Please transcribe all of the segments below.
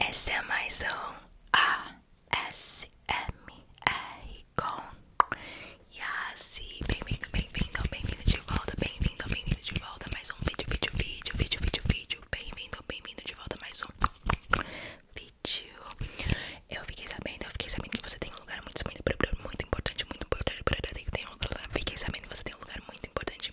Esse é mais um ASMR com Yassi. Bem-vindo, bem-vindo, bem-vindo de volta, bem-vindo, bem-vindo de volta. Mais um vídeo, vídeo, vídeo, vídeo, vídeo, vídeo. Bem-vindo, bem-vindo de volta. Mais um vídeo. Eu fiquei sabendo, eu fiquei sabendo que você tem um lugar muito, muito, muito importante, muito importante. Pra... Eu tenho, fiquei sabendo que você tem um lugar muito importante,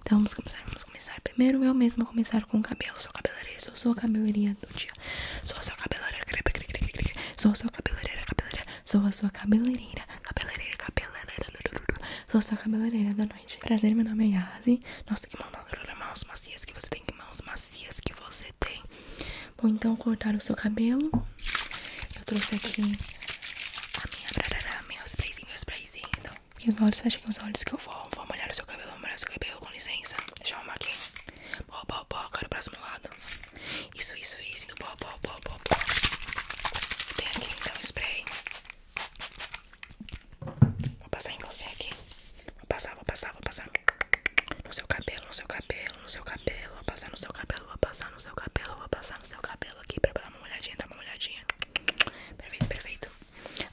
Então vamos começar, vamos começar. Primeiro eu mesma começar com o cabelo. Sou cabeleireira, sou, sou a cabeleireira do dia. Sou a sua cabeleireira, sou a sua cabeleireira, cabeleireira. Sou a sua cabeleireira, cabeleireira, cabeleireira. Sou a sua cabeleireira da noite. Prazer, meu nome é Yazi. Nossa, que mão maluca, mãos macias que você tem, que mãos macias que você tem. Vou então cortar o seu cabelo. Eu trouxe aqui a minha brarará, meu sprayzinho, meu sprayzinho. Porque os olhos, fecha os olhos que eu vou, vou molhar o seu cabelo, vou molhar o seu cabelo, com licença. Deixa eu arrumar aqui. Pó, pó, pó, agora o próximo lado. Isso, isso, isso, do pó, pó, pó, pó, pó. Tem aqui então spray. Vou passar em você aqui. Vou passar, vou passar, vou passar. No seu cabelo, no seu cabelo, no seu cabelo. Vou passar no seu cabelo, vou passar no seu cabelo, vou passar no seu cabelo aqui pra dar uma olhadinha, dar uma olhadinha. Perfeito, perfeito.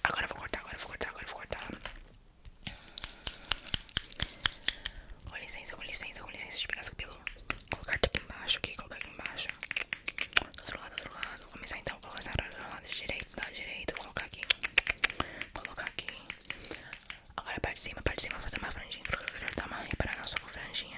Agora eu vou cortar, agora eu vou cortar, agora eu vou cortar. Com licença, com licença, com licença. Deixa eu pegar esse pelo. Colocar aqui embaixo, aqui, colocar aqui embaixo. Do outro lado, do outro lado. começar então, vou começar do lado direito, do lado direito. colocar aqui. Colocar aqui. Agora a parte de cima, a parte de cima, vou fazer uma franjinha. Porque eu quero dar uma reparada só com franjinha.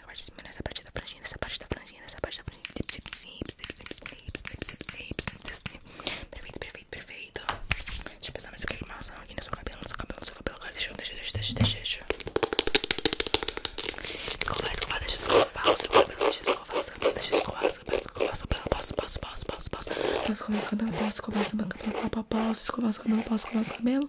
cima, da parte da cima, essa parte da franjinha, nessa parte da franjinha, nessa parte da franjinha. Perfeito, perfeito, perfeito. Deixa eu pensar mais aquele maçã aqui no seu cabelo, no seu cabelo, no seu cabelo. Agora deixa, deixa, deixa, deixa, deixa. deixa. Escovar, escovar, deixa escovar o seu cabelo, deixa escovar o seu cabelo, deixa escovar o seu cabelo, escovar o seu cabelo, posso, posso, posso, posso, posso. Posso escovar o seu cabelo, posso escovar o seu cabelo, posso escovar o seu cabelo, posso escovar o seu cabelo.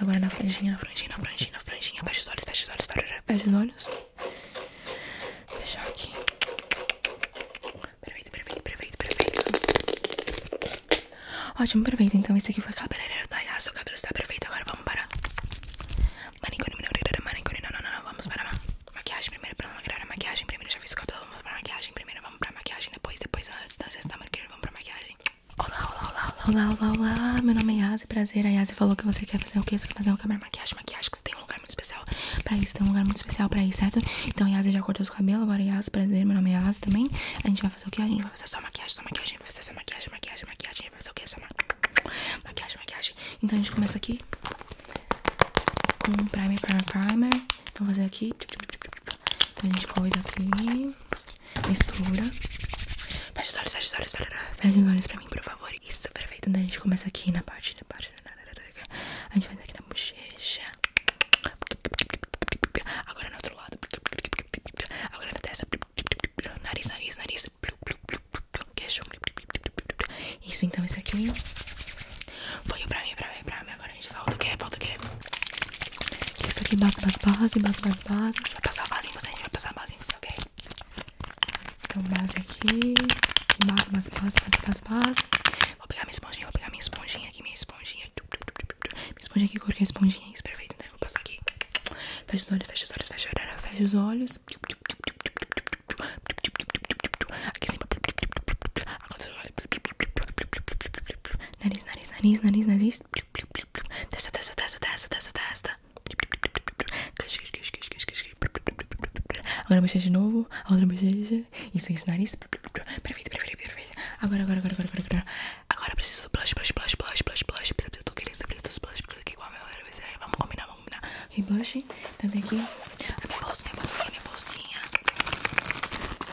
Agora na franjinha, na franjinha, na franjinha, na franjinha. Fecha os olhos, fecha os olhos, fecha os olhos. Fechar aqui. Perfeito, perfeito, perfeito, perfeito. Ótimo, perfeito. Então isso aqui foi o tá da ah, Yas. Seu cabelo está perfeito. Agora vamos para... Manicure, manicure, não, não, não, não. Vamos para maquiagem primeiro, para maquiagem, maquiagem primeiro. Já fiz o cabelo, vamos para maquiagem primeiro. Vamos para maquiagem depois, depois antes da manicure, vamos para maquiagem. Olá, olá, olá, olá, olá, olá, Meu nome é Yasi, prazer. A Yasi falou que você quer fazer o quê? Você quer fazer uma câmera maquiagem, maquiagem, que você tem um lugar muito especial pra isso, tem um lugar muito especial pra isso, certo? Então, Yasi já cortou seu cabelo, agora é Yasi, prazer. Meu nome é Yasi também. A gente vai fazer o quê? A gente vai fazer só maquiagem, só maquiagem, vai fazer só maquiagem, maquiagem, maquiagem, vai fazer o quê? Só ma... maquiagem, maquiagem. Então, a gente começa aqui com primer, primer, primer. Vamos fazer aqui. Então a gente coisa aqui, mistura. Fecha os olhos, fecha os olhos, fecha os olhos pra mim, por favor. Isso, perfeito. Então a gente começa aqui na parte, na parte, a gente faz aqui na bochecha. Agora no outro lado. Agora na testa. Nariz, nariz, nariz. Queixo. Isso, então, isso aqui foi o pra mim, pra mim, pra mim. Agora a gente volta o quê? Volta o quê? Isso aqui, base, base, base, base, base, base. Vai passar base em você, vai passar base em você, ok? Então, base aqui. Base, base, base, base, base, base. Vou pegar minha esponjinha, vou pegar minha esponjinha aqui, minha esponjinha. Minha esponjinha aqui, coloquei a esponjinha, isso, perfeito. Então, eu vou passar aqui. Fecha os olhos, fecha os olhos, fecha, fecha os olhos. Aqui em cima. Nariz, nariz, nariz, nariz, nariz nariz. Testa, testa, testa, testa, testa, testa. Agora mexer de novo. Agora mexer. Isso, isso, nariz. Perfeito, perfeito, perfeito. Agora, agora, agora, agora, agora. Agora preciso do blush, blush, blush, blush, blush. blush. Preciso do que Preciso dos blush, porque aqui igual a minha Vamos combinar, vamos combinar. Aqui, blush. Então tem aqui a minha bolsinha, minha bolsinha, minha bolsinha.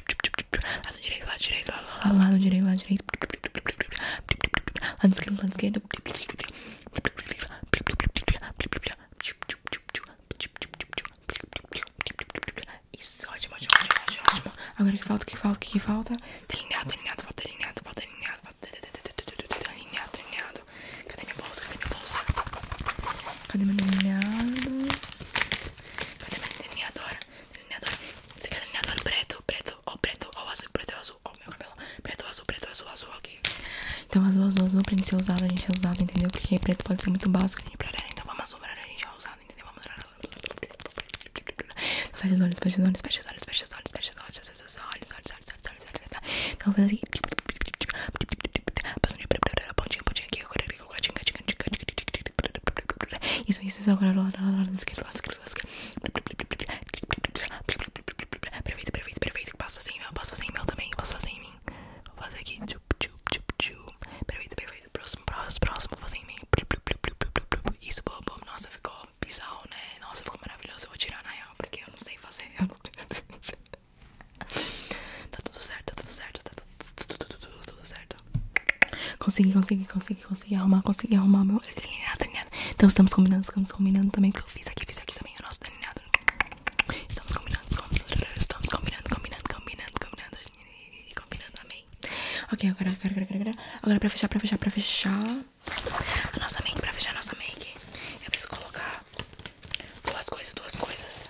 lado direito, lado direito, lado, lado direito, lado direito, lado esquerdo, lado esquerdo. Isso, ótimo, ótimo, ótimo, ótimo. Agora o que falta, o que falta, o que falta? Delineado, delineado, falta delineado, falta delineado, falta delineado, delineado. Cadê minha bolsa? Cadê minha bolsa? Cadê meu delineado? Cadê meu delineador? Delineador. Você quer delineador preto, preto, ou preto, ou azul, preto ou azul, ou meu cabelo. Preto, azul, preto, azul, azul, ok. Então azul, azul, azul, pra gente ser usado, a gente é usado, entendeu? Porque preto pode ser muito básico, a gente pra arara, então vamos azul pra arara, a gente já é usado, entendeu? Vamos então, fecha os olhos, fecha os olhos, fecha os olhos, fecha os olhos, fecha os olhos, fecha os olhos, olhos, olhos, olhos, olhos, olhos, olhos, olhos. Então vamos fazer assim. preto, um preto, pontinha, preto, aqui, pre isso, isso, isso. Agora, Perfeito, perfeito, perfeito. Posso fazer em meu, posso fazer em meu também. Posso fazer em mim. Vou fazer aqui. Tchup, tchup, tchup, tchup. Perfeito, perfeito. Próximo, próximo, próximo. Vou fazer em mim. Isso, bom, bom. Nossa, ficou bizarro, né? Nossa, ficou maravilhoso. Eu vou tirar na real, porque eu não sei fazer. Eu não... tá tudo certo, tá tudo certo, tá tudo certo tudo certo. Consegui, consegui, consegui, consegui arrumar, consegui arrumar meu olho delineado, Então estamos combinando, estamos combinando também, porque eu fiz aqui, fiz aqui também o nosso delineado. Estamos combinando, estamos combinando, combinando, combinando, combinando, combinando, amém. Ok, agora, agora, agora, agora, agora, agora pra fechar, pra fechar, pra fechar a nossa make, pra fechar a nossa make, eu preciso colocar duas coisas, duas coisas.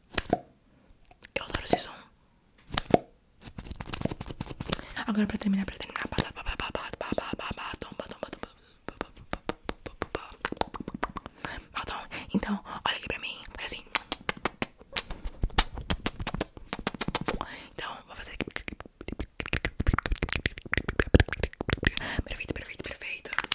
Eu adoro esse som. Agora pra terminar, pra terminar. Tomba, tomba, tomba. Batom. Então, olha aqui pra mim. Faz assim. Então, vou fazer aqui. Perfeito, perfeito, perfeito.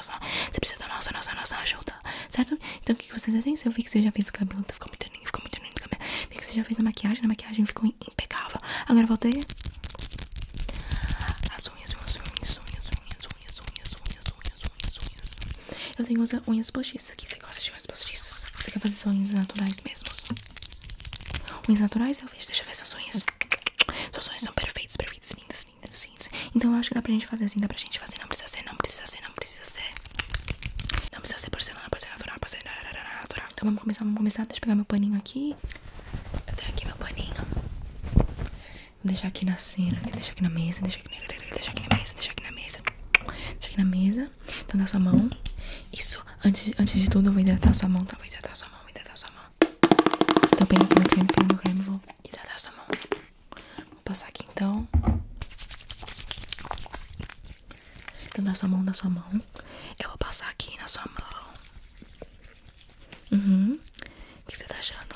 você precisa da nossa, nossa, nossa ajuda, certo? Então o que, que vocês dizem? Eu vi que você já fez o cabelo, ficou muito lindo, ficou muito lindo o cabelo. Vi que você já fez a maquiagem, a maquiagem ficou impecável. Agora voltei. As unhas, unhas, unhas, unhas, unhas, unhas, unhas, unhas, unhas, unhas, Eu tenho as unhas postiças aqui. Você gosta de unhas postiças? Você quer fazer unhas naturais mesmo Unhas naturais eu vejo, deixa eu ver suas unhas. Suas unhas são perfeitas, perfeitas, lindas. Então eu acho que dá pra gente fazer assim, dá pra gente fazer. Não precisa ser, não precisa ser, não precisa ser. Não precisa ser porcelana, pode ser natural, pode ser natural. Então vamos começar, vamos começar. Deixa eu pegar meu paninho aqui. Eu tenho aqui meu paninho. Vou deixar aqui na cena, deixa aqui na mesa, deixa aqui na, mesa, deixa aqui na mesa. Deixa aqui na mesa. Então na sua mão. Isso, antes, antes de tudo eu vou hidratar a sua mão, tá? Vou hidratar a sua mão, vou hidratar a sua mão. Então pega aqui meu creme, pega meu creme, vou hidratar sua mão. Vou passar aqui então. Então dá sua mão, dá sua mão. Eu vou passar aqui na sua mão. Uhum. O que você tá achando?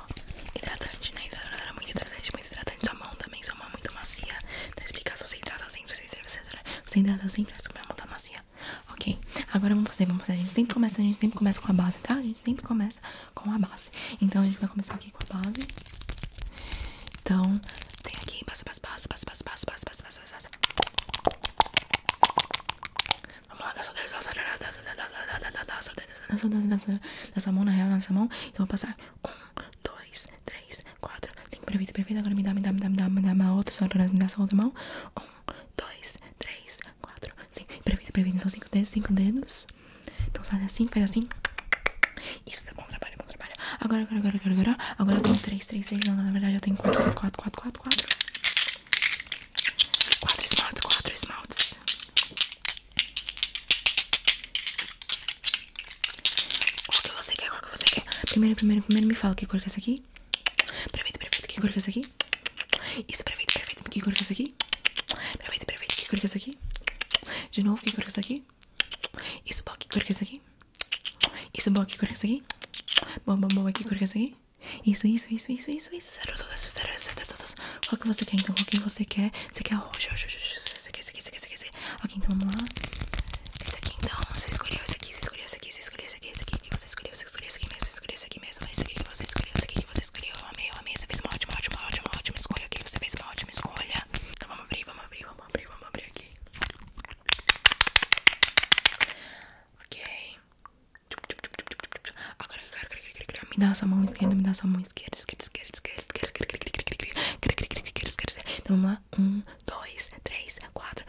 Hidratante, né? Hidratante, muito hidratante, muito hidratante. Sua mão também, sua mão é muito macia. Dá explicação, você hidrata assim você hidrata sempre. Você hidrata sempre, sua mão tá macia. Ok? Agora vamos fazer, vamos fazer. A gente sempre começa, a gente sempre começa com a base, tá? A gente sempre começa com a base. Então a gente vai começar aqui com a base. Então, tem aqui, passa, passa, passa, passa, passa, passa, passa, passa, passa, passa. Vamos lá, dá sua dança, dá sua mão na real, na sua mão. Então vou passar. Um, dois, três, quatro. Tem perfeito, perfeito. Agora me dá, me dá, me dá, me dá, me dá uma outra, só me dá essa outra mão. Um, dois, três, quatro, cinco. Previne, previne, são cinco dedos, cinco dedos. Então faz assim, faz assim. Isso, bom trabalho, bom trabalho. Agora, agora, agora, agora, agora. Agora eu tenho três, três, três. Não, na verdade eu tenho quatro, quatro, quatro, quatro, quatro, quatro. Quatro esmaltes, quatro esmaltes. Qual que você quer? Qual que você quer? Primeiro, primeiro, primeiro me fala que cor que é essa aqui. Perfeito, perfeito. Que cor que é essa aqui? Isso, perfeito, perfeito. Que cor que é aqui? Perfeito, perfeito. Que cor que é aqui? De novo, que cor que é essa aqui? Isso, bom. Que cor que é essa aqui? Isso, bom. Que cor que é essa aqui? Bom, bom, bom. Que cor que é essa aqui? Isso, isso, isso, isso, isso, isso. isso todas, isso zero todas. Qual que você quer, então? Qual que você quer? Você quer roxo, roxo, roxo. Você quer, você quer, você quer, você quer. Ok, então vamos lá. Esse aqui, então. Você escolheu esse aqui, você escolheu esse aqui, você escolheu esse aqui, que você escolheu, você escolheu esse aqui mesmo, você escolheu esse aqui mesmo, esse aqui que você escolheu, esse aqui que você escolheu. amei, amei. Você fez uma ótima, ótima, ótima, ótima escolha Você fez uma ótima escolha. Então vamos abrir, vamos abrir, vamos abrir, vamos abrir aqui. Ok. Agora, agora, agora, agora, me dá sua mão esquerda, me dá a sua mão esquerda, esquerda, esquerda, esquerda, esquerda, esquerda, esquerda, esquerda, esquerda, esquerda, esquerda, esquerda. Então vamos lá. Um, dois, três, quatro.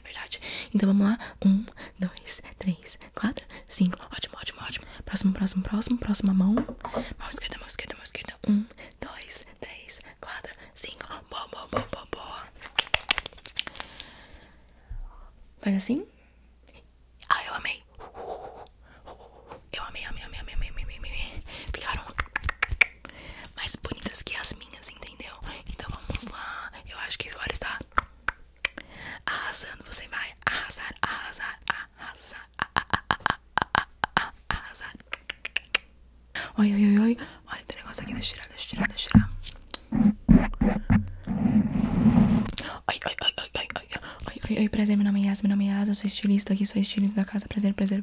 é verdade. Então vamos lá. Um, dois, três, quatro, cinco. Ótimo, ótimo, ótimo. Próximo, próximo, próximo. Próxima mão. Mão esquerda, mão esquerda, mão esquerda. Um, dois, três, quatro, cinco. Boa, boa, boa, boa, boa. Faz assim. Ah, eu amei. Eu amei, amei, amei, amei, amei, amei, amei. Ficaram mais bonitas que as minhas, entendeu? Então vamos lá, eu acho que agora está arrasando, você vai arrasar, arrasar, arrasar, arrasar. Oi, oi, oi, oi, olha o negócio aqui, deixa eu tirar, deixa eu tirar, deixa eu tirar. Oi, oi, oi, oi, oi, oi, oi, oi, oi, oi, oi. prazer, meu nome é Yas, meu nome é Yas, eu sou estilista aqui, sou estilista da casa, prazer, prazer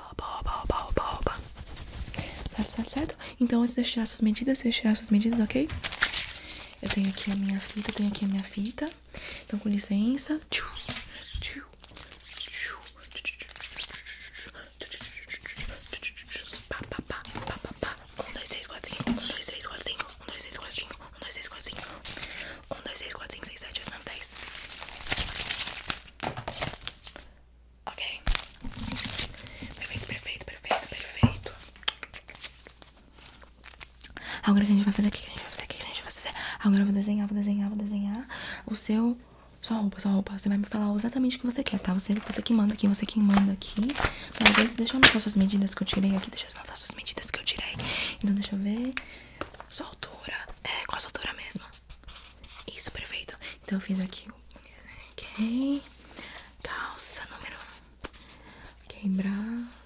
oba, oba, oba, oba, oba. Certo, certo, certo? Então antes de eu tirar suas medidas, vocês tirar suas medidas, ok? Eu tenho aqui a minha fita, tenho aqui a minha fita. Então com licença. Tchiu, tchiu, tchiu, pá, pá, pá, pá, pá, pá. 1, 2, 3, 4, 5, 1, 2, 3, 4, 5, 1, 2, 3, 4, 5, 1, 2, 3, 4, 5, 1, 2, 3, 4, 5, 6, 7, 8, 9, 10. Ok. Perfeito, perfeito, perfeito, perfeito. Agora o que a gente vai fazer aqui, que a gente vai fazer aqui, que a gente vai fazer. Agora eu vou desenhar, vou desenhar, vou desenhar o seu. Sua roupa, sua roupa. Você vai me falar exatamente o que você quer, tá? Você, você que manda aqui, você que manda aqui. Mas tá, deixa eu anotar suas medidas que eu tirei aqui. Deixa eu anotar suas medidas que eu tirei. Então, deixa eu ver. Sua altura. É, com a sua altura mesmo? Isso, perfeito. Então eu fiz aqui o. Ok. Calça número. Ok, braço.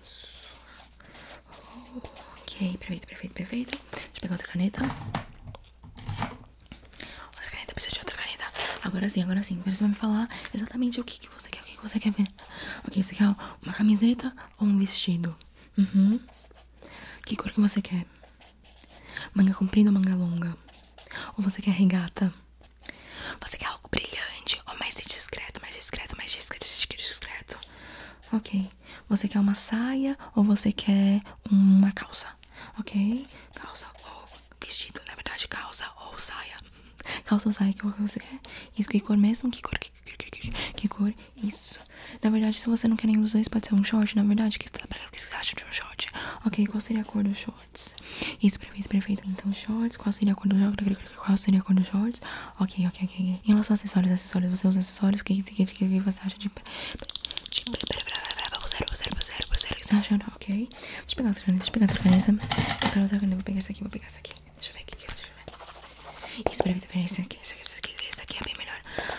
Ok, perfeito, perfeito, perfeito. Deixa eu pegar outra caneta. Outra caneta, preciso de outra caneta. Agora sim, agora sim. Agora você vai me falar exatamente o que, que você quer, o que, que você quer ver. Ok, você quer uma camiseta ou um vestido? Uhum. Que cor que você quer? Manga comprida ou manga longa? Ou você quer regata? Você quer algo brilhante ou mais discreto, mais discreto, mais discreto, discreto? Ok. Você quer uma saia ou você quer uma calça? Ok. Calça ou vestido, na verdade, calça ou saia. Calça ou saia, que você quer? Isso, que cor mesmo? Que cor? que cor? Isso. Na verdade, se você não quer nenhum dos dois, pode ser um short, na verdade. O que, que você acha de um short? Ok, qual seria a cor dos shorts? Isso, perfeito, perfeito. Então, shorts, qual seria a cor dos shorts? Qual seria a cor dos shorts? Ok, ok, ok. Em relação a acessórios, acessórios, você usa acessórios? O que, que, que, que você acha de... Você acha, ok? Deixa eu pegar outra caneta, deixa eu pegar outra caneta. Eu quero vou pegar essa aqui, vou pegar essa aqui. Deixa eu ver aqui, deixa eu ver. Isso, perfeito, perfeito. Essa aqui, essa aqui, essa aqui, essa aqui é bem melhor.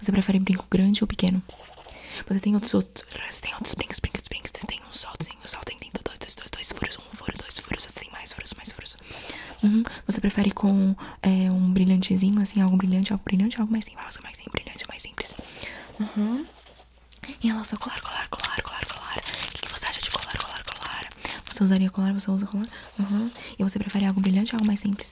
Você prefere brinco grande ou pequeno? Você tem outros outros. tem outros brincos, brincos, brincos. Você tem um solzinho você um sol, tem lindo, dois, dois, dois, dois furos, um furo, dois furos, você tem mais furos, mais furos. Uhum. Você prefere com eh, um brilhantezinho, assim, algo brilhante, algo brilhante, algo mais simples, algo mais simples, brilhante, mais simples. Uhum. Em relação colar, colar, colar, colar, colar. O que, você acha de colar, colar, colar? Você usaria colar, você usa colar? Uhum. E você prefere algo brilhante ou algo mais simples?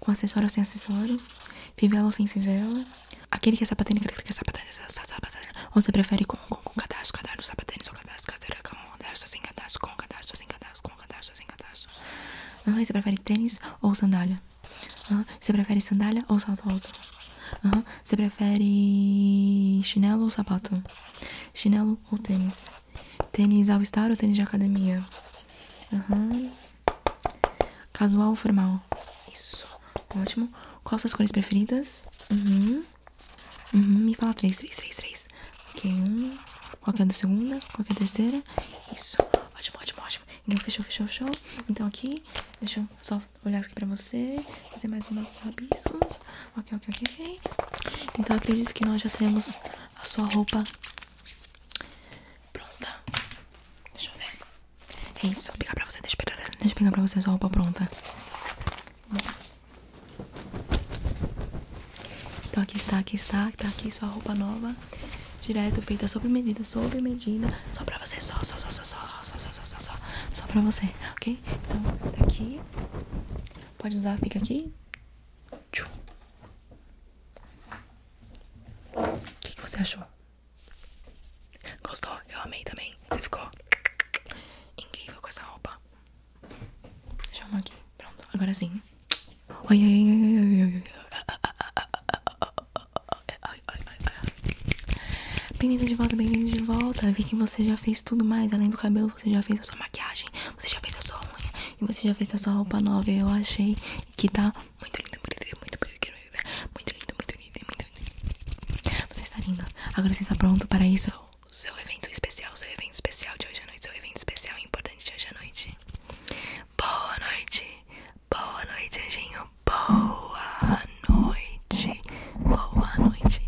Com acessório ou sem acessório, fivela ou sem fivela, aquele que é sapatênis, aquele que é sapatênis, ou você prefere com, com, com cadastro, cadastro, sapatênis ou cadastro, cadastro, com cadastro, sem cadastro, com cadastro, sem cadastro, com cadastro, sem cadastro. Uhum, você prefere tênis ou sandália? Uhum, você prefere sandália ou sapato? alto? Uhum, você prefere chinelo ou sapato? Chinelo ou tênis? Tênis All Star ou tênis de academia? Uhum. Casual ou formal? Isso. Ótimo. Qual suas cores preferidas? Uhum. uhum. Me fala três, três, três, três. Ok, um. Qual que é a segunda? Qual é a terceira? Isso. Ótimo, ótimo, ótimo. Então, fechou, fechou, fechou. Então, aqui, deixa eu só olhar aqui pra você. Fazer mais umas rabiscos. ok, ok, ok. Então, acredito que nós já temos a sua roupa Pronta. Deixa eu ver. É isso, vou pegar pra você, deixa eu pegar, deixa pra você sua roupa pronta. Então aqui está, aqui está, tá aqui sua roupa nova. Direto, feita sobre medida, sobre medida. Só pra você, só, só, só, só, só, só, só, só, só, só, só pra você, ok? Então, daqui. Tá Pode usar, fica aqui. Tchum. O que, você achou? Gostou? Eu amei também. Você ficou incrível com essa roupa. Deixa eu arrumar aqui. Pronto, agora sim. Oi, oi, oi, Bem-vindo de volta, bem-vindo de volta. Vi que você já fez tudo mais. Além do cabelo, você já fez a sua maquiagem, você já fez a sua unha. E você já fez a sua roupa nova. Eu achei que tá muito linda, muito linda, muito linda, muito linda, muito linda, muito linda. Você está linda. Agora você está pronto para isso? Seu evento especial, seu evento especial de hoje à noite, seu evento especial e importante de hoje à noite. Boa noite, boa noite, anjinho. Boa noite, boa noite.